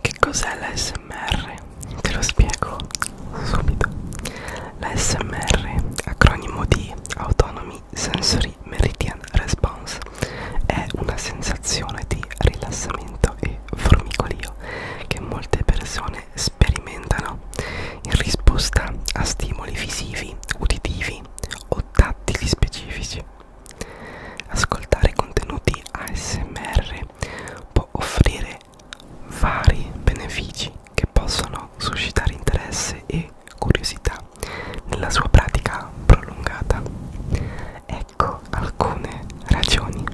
Che cos'è l'ASMR? Te lo spiego subito. L'ASMR, acronimo di Autonomy Sensory Meridian Response, è una sensazione di rilassamento e formicolio che molte persone sperimentano in risposta a stimoli visivi, uditivi o tattili specifici. Ascoltare contenuti ASMR perché può offrire vari benefici che possono suscitare interesse e curiosità nella sua pratica prolungata. Ecco alcune ragioni.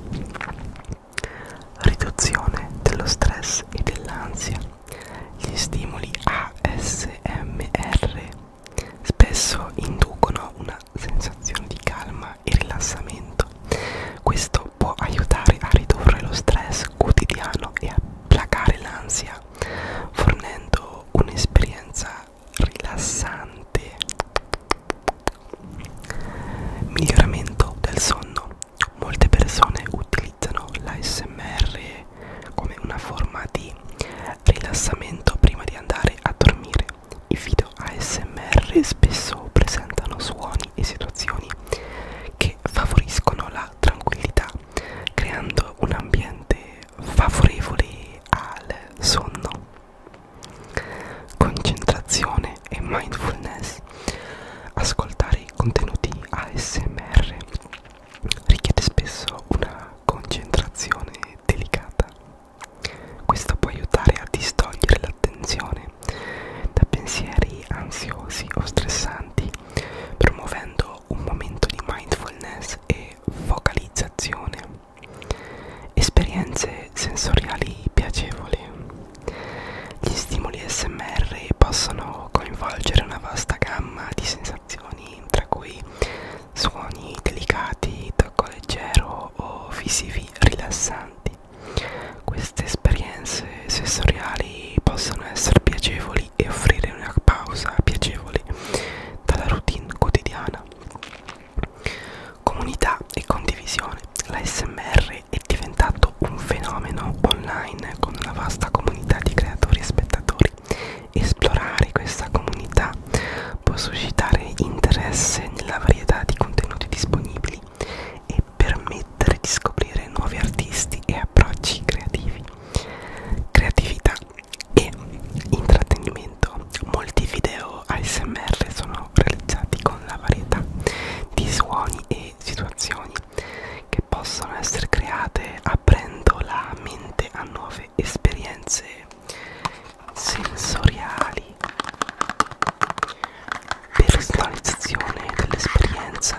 Riduzione dello stress e dell'ansia. Gli stimoli ASMR spesso inducono una sensazione di calma e rilassamento. Questo può aiutare a ridurre lo stress quotidiano e a placare l'ansia, fornendo un'esperienza rilassante. Miglioramento del sonno. Molte persone utilizzano l'ASMR come una forma di rilassamento prima di andare a dormire. I video ASMR spesso presentano suoni e situazioni che favoriscono la tranquillità, creando un ambiente favorevole al sonno. Concentrazione e mindfulness. Ascoltare i contenuti ASMR richiede spesso una concentrazione delicata questo può aiutare a distogliere l'attenzione da pensieri ansiosi o stressanti, promuovendo un momento di mindfulness e focalizzazione. Esperienze sensoriali piacevoli. Gli stimoli SMR possono coinvolgere una vasta gamma di sensazioni, tra cui suoni delicati, tocco leggero o visivi rilassanti quindi queste esperienze sensoriali possono essere piacevoli e offrire una pausa piacevole dalla routine quotidiana. Comunità e condivisione. L'ASMR è diventato un fenomeno online con una vasta comunità di creatori e spettatori. Esplorare questa comunità può suscitare interesse nella varietà di contenuti disponibili e permettere di scoprire nuovi artisti e approcci creativi. Creatività e intrattenimento. Molti video ASMR sono realizzati con la varietà di suoni e situazioni che possono essere create aprendo la mente a nuove esperienze sensoriali personalizzazione dell'esperienza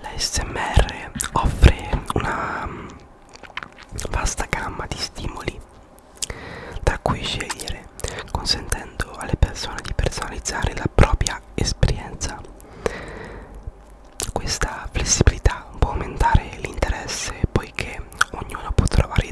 l'ASMR offre una mm, vasta gamma di stimoli da cui scegliere consentendo alle persone di personalizzare la propria esperienza questa flessibilità può aumentare l'interesse poiché ognuno può trovare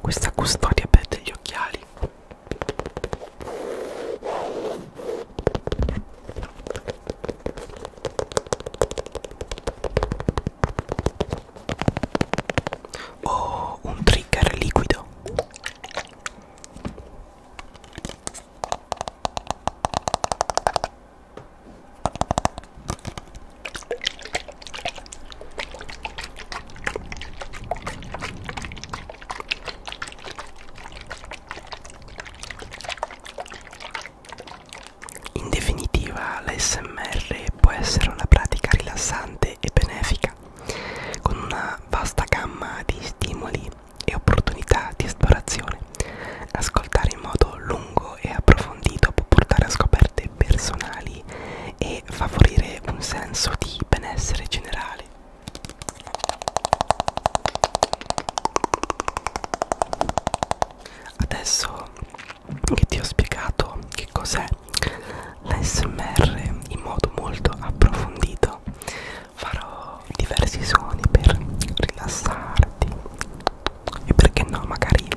questa custodia per degli occhiali o oh, un trigger liquido in definitiva, l'ASMR può essere una pratica rilassante e benefica, con una vasta gamma di stimoli e opportunità di esplorazione. Ascoltare in modo lungo e approfondito può portare a scoperte crescite personali e favorire un senso di benessere generale. Adesso che ti ho spiegato che cos'è l'ASMR in modo molto approfondito, farò diversi suoni per rilassarti e perché no magari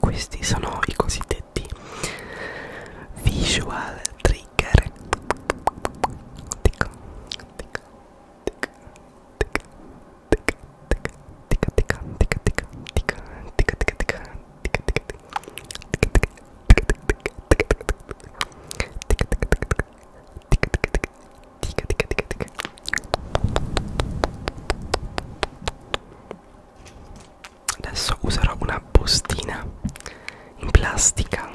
questi sono i cosiddetti visual trigger tic, tic, tic, tic, tic, tic, tic, tic, tic, tic, tic, adesso userò una bustina in plastica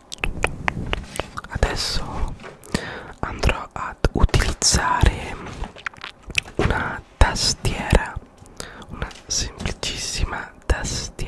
adesso andrò ad utilizzare una tastiera una semplicissima tastiera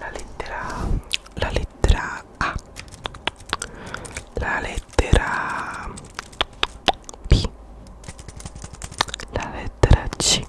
La lettera la lettera A la lettera B la lettera C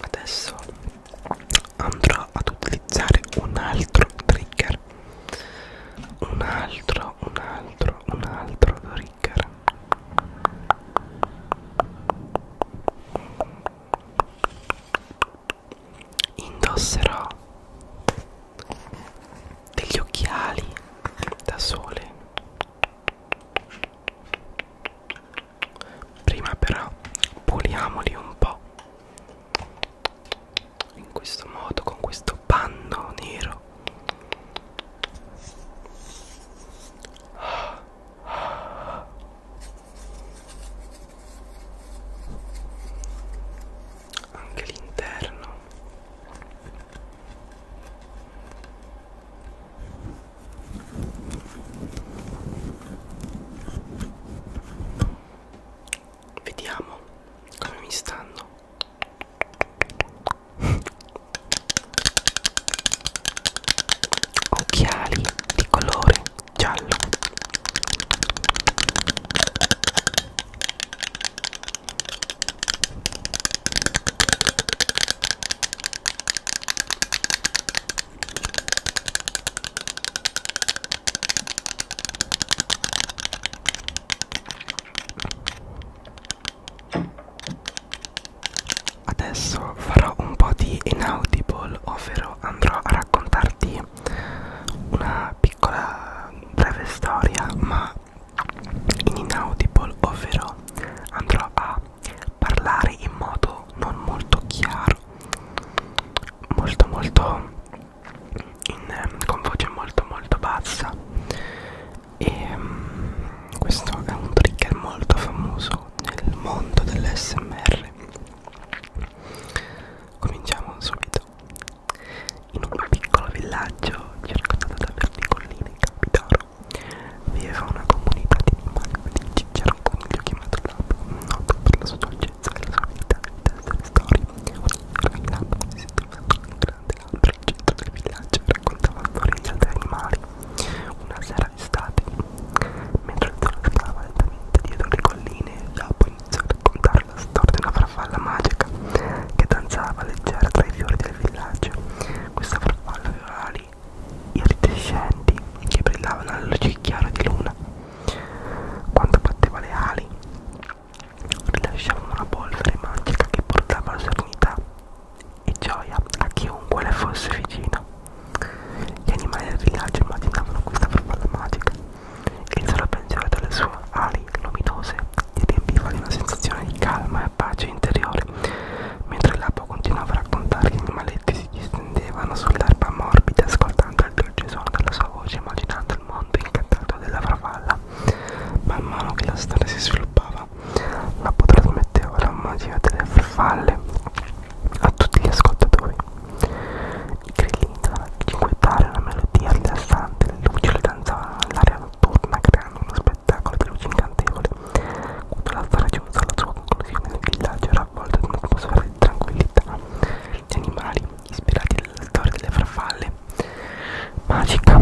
Adesso andrò ad utilizzare un altro trigger. Un altro, un altro, un altro trigger indosserò degli occhiali da sole prima però puliamoli un po in questo modo con questo panno nero anche l'interno vediamo come mi stanno occhiali di colore giallo Adesso farò un po' di inaudible, ovvero andrò a raccontarti raccontarvi una piccola breve storia ma in inaudible ovvero andrò a parlare in modo non molto chiaro molto molto in, con voce molto molto bassa e mm, questo è un trigger molto famoso nel mondo dell'SMR cominciamo subito in un piccolo villaggio circondato da verdi colline in Campidoglio viveva una comunità di animali felici. C'era un coniglio chiamato Lab, noto per la sua dolcezza e la sua vita di essere storie. Ogni sera Lab si sedeva su un grande albero al centro del villaggio e raccontava storie di altri animali. Una sera d'estate, mentre il sole scava lentamente dietro le colline, Lab fu iniziato a raccontare la storia di una farfalla magica che danzava leggera tra i fiori del villaggio. Questa farfalla aveva ali iridescenti che brillavano alla luce chiara di luna. Quando batteva le ali, rilasciava una polvere magica che portava la serenità e gioia a chiunque le fosse vicino. Gli animali del villaggio immaginavano questa farfalla magica il solo pensiero delle sue ali luminose gli riempiva di una sensazione di calma e pace interiore, mentre l'apo continuava a raccontare che i maletti si distendevano sull'erba morbida, ascoltando il dolce suono della sua voce, immaginando il mondo incantato della farfalla. Man mano che la storia si sviluppava, l'apo trasmetteva la magia delle farfalle a tutti gli ascoltatori. I grilli utilizzano a cinguettare una melodia rilassante, le luci le danzavano nell'aria notturna creando uno spettacolo di luci incantevole. Quando la storia giunse alla sua conclusione il villaggio era avvolto in un'atmosfera di tranquillità. Gli animali, ispirati dalla storia delle farfalle, magica,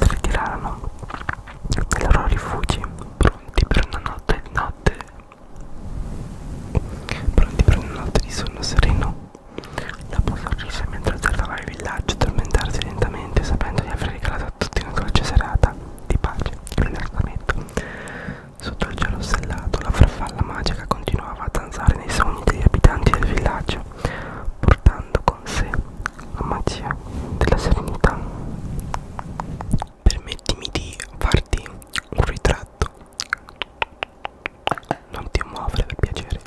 si ritirarono dai loro rifugi, pronti per una notte di notte pronti per una notte di sonno sereno la sorrise mentre osservava il villaggio tormentarsi lentamente sapendo di aver regalato a tutti una dolce serata di pace e rilassamento. Sotto il cielo stellato la farfalla magica continuava a danzare nei sogni degli abitanti del villaggio, portando con sé la magia della serenità. Permettimi di farti un ritratto. Non ti muovere per piacere.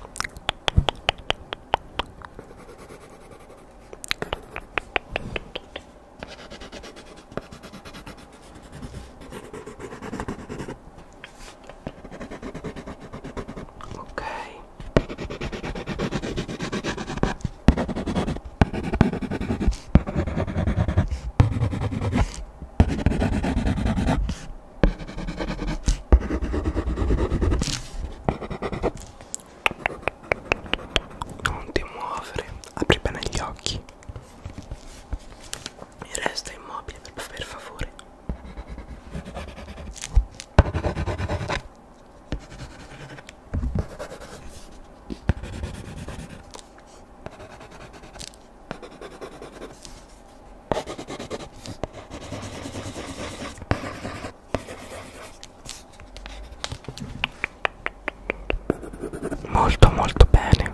Ok. Não ti muovere, apri bene gli occhi e resta immobile per favore. molto molto bene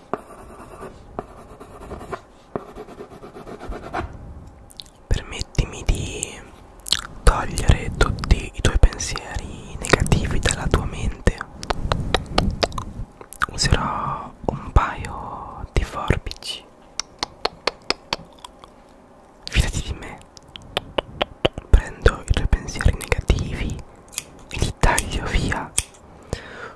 Permettimi di togliere tutti i tuoi pensieri negativi dalla tua mente. Userò un paio di forbici. Fidati di me. Prendo i tuoi pensieri negativi e li taglio via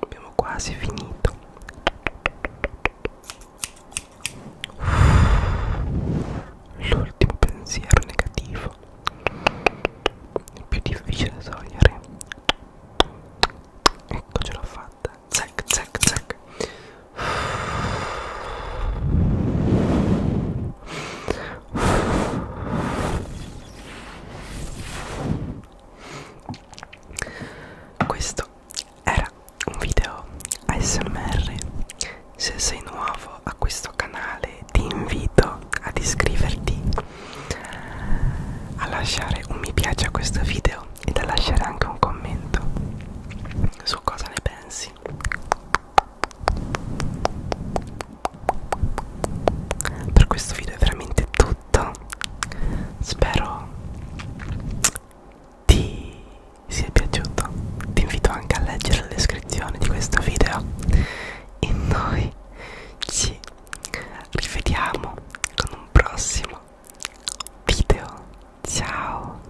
Abbiamo quasi finito. L'ultimo pensiero negativo. È più difficile da togliere. Ecco ce l'ho fatta fatta zac zac zac questo era un video ASMR se sei nuovo a questo canale ti invito ad iscriverti a lasciare un mi piace a questo video e a lasciare anche un commento su cosa ne pensi per questo video è veramente tutto spero ti sia piaciuto ti invito anche a leggere la descrizione di questo video e noi ci rivediamo con un prossimo video. Ciao,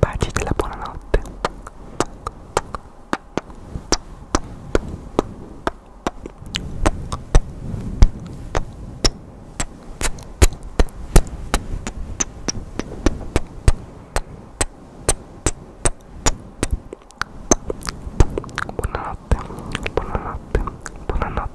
baci della buonanotte. Buonanotte, buonanotte, buonanotte.